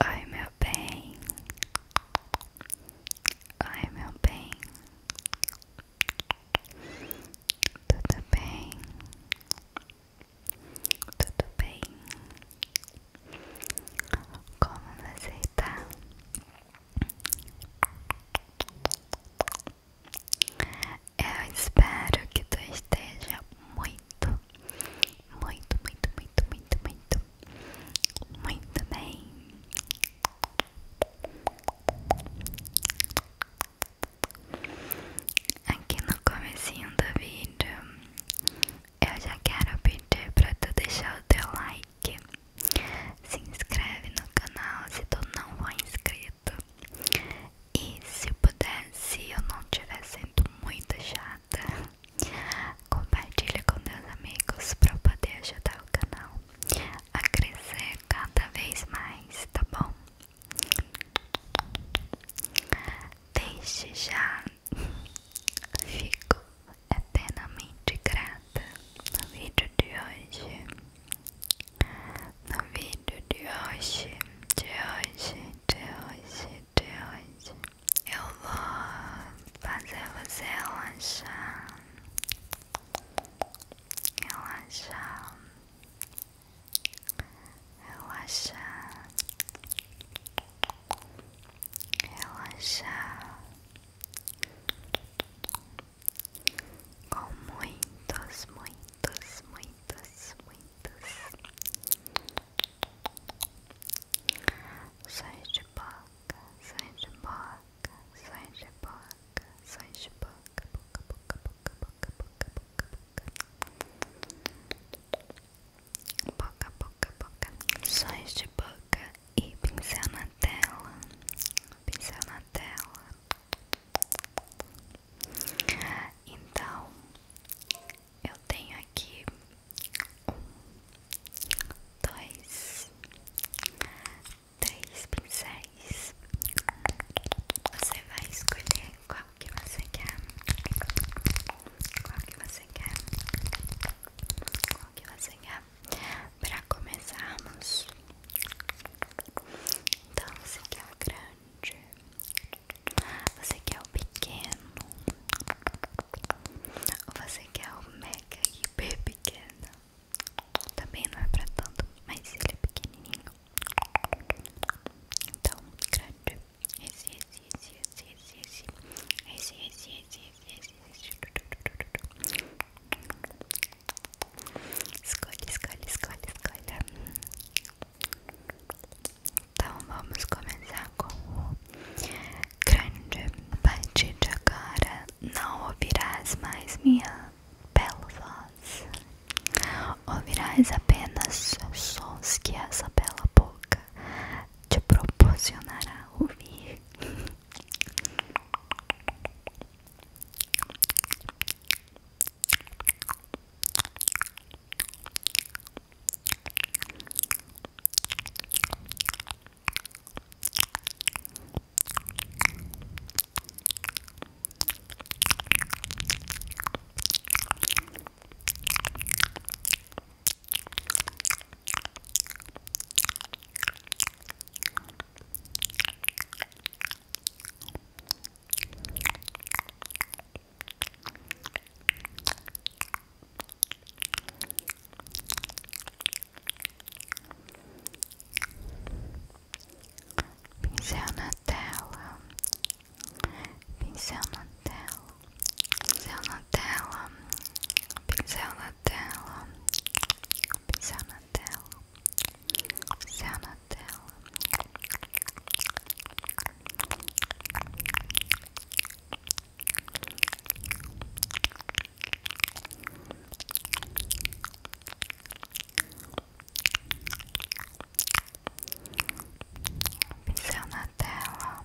Ai meu bem. ai meu bem. Tudo bem? Tudo bem? Como você tá? Eu espero que tu esteja muito, muito, muito, muito, muito, muito, muito bem. Aqui no comecinho do vídeo eu já quero pedir para tu deixar o teu like. Se inscreve no canal se tu não for inscrito. E se puder, se eu não estiver sendo muito chata, compartilha com teus amigos para eu poder ajudar o canal a crescer cada vez mais, tá bom? Deixe já Fico eternamente grata no vídeo de hoje. No vídeo de hoje, de hoje, de hoje, de hoje, eu vou fazer você relaxar. Relaxar. Relaxar. Relaxar relaxar com muitos, muitos, muitos, muitos sonhos de boca, sonhos de boca, sonhos de boca, sonhos de boca, boca, boca, boca, boca, boca, boca, boca boca, boca, boca, sóis de boca e pincel na tela, pincel na tela. Então, eu tenho aqui um, dois, três pincéis. Você vai escolher qual qual que você quer? Qual que você quer? Qual que você quer? para começarmos Então você quer o grande Você quer o pequeno Ou você quer o mega hiper pequeno Também não é para tanto, mas ele é pequenininho então, grande esse, esse, esse, esse, esse, esse. Esse, esse, esse, esse, esse. Escolhe, escolhe, escolhe, escolhe. Então vamos começar com o grande partir de agora. Não ouvirás mais minha bela voz. Ouvirás apenas sons que essa bela boca te proporcionará ouvir. Pincel na tela pincel na tela, pincel na tela, pincel na tela, pincel na tela, pincel na tela. Pincel na tela,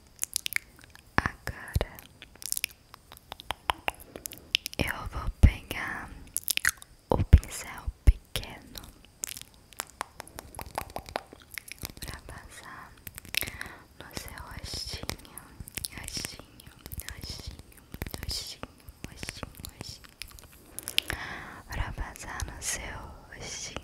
Agora eu vou pegar o pincel pequeno para passar no seu rostinho, rostinho, rostinho, rostinho, rostinho, rostinho, para passar no seu rostinho.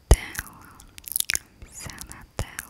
Sanatelo Sanatelo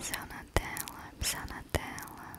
Pisar na tela, pisar na tela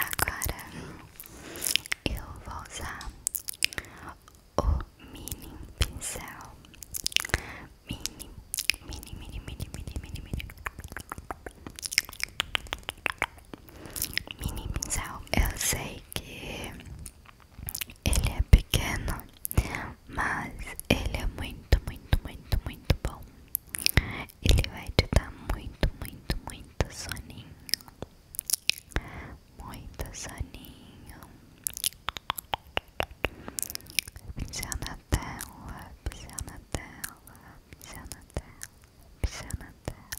Agora eu vou usar o mini pincel. Mini, mini, mini, mini, mini, mini, mini minimizar. Eu sei que ele é pequeno, mas ele é muito, muito, muito, muito bom. Ele vai te dar muito, muito, muito soninho. Muito soninho. Pisar na tela, pisar na tela, pisar na tela, pisar na tela.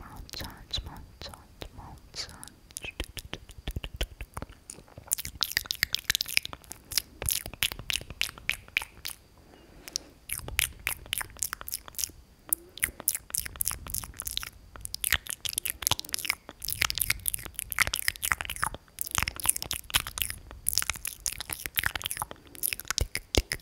Montage, montage, montage. Tick, tick,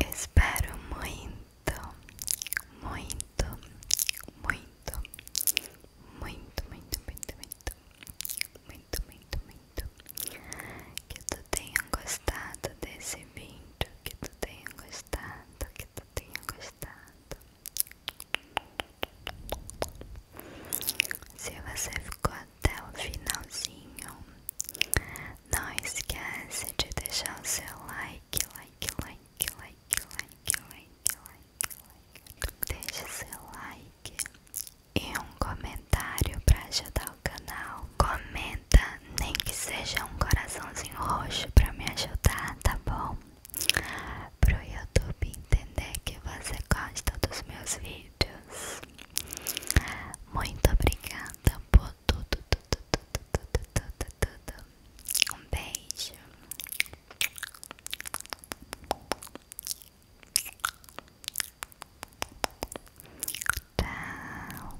espero muito, muito, muito, muito, muito, muito, muito, muito, muito, muito que tu tenha gostado desse vídeo, que tu tenha gostado, que tu tenha gostado. Se você ficou até o finalzinho, não esquece de deixar o seu like, like, like, like, like, like, like, like. Deixe seu like e um comentário para ajudar o canal. Comenta, nem que seja um coraçãozinho Assim, roxo pra me ajudar, tá bom? Pro YouTube entender que você gosta dos meus vídeos. Muito obrigada por tudo, tudo, tudo, tudo, tudo, tudo. Um beijo. Tchau.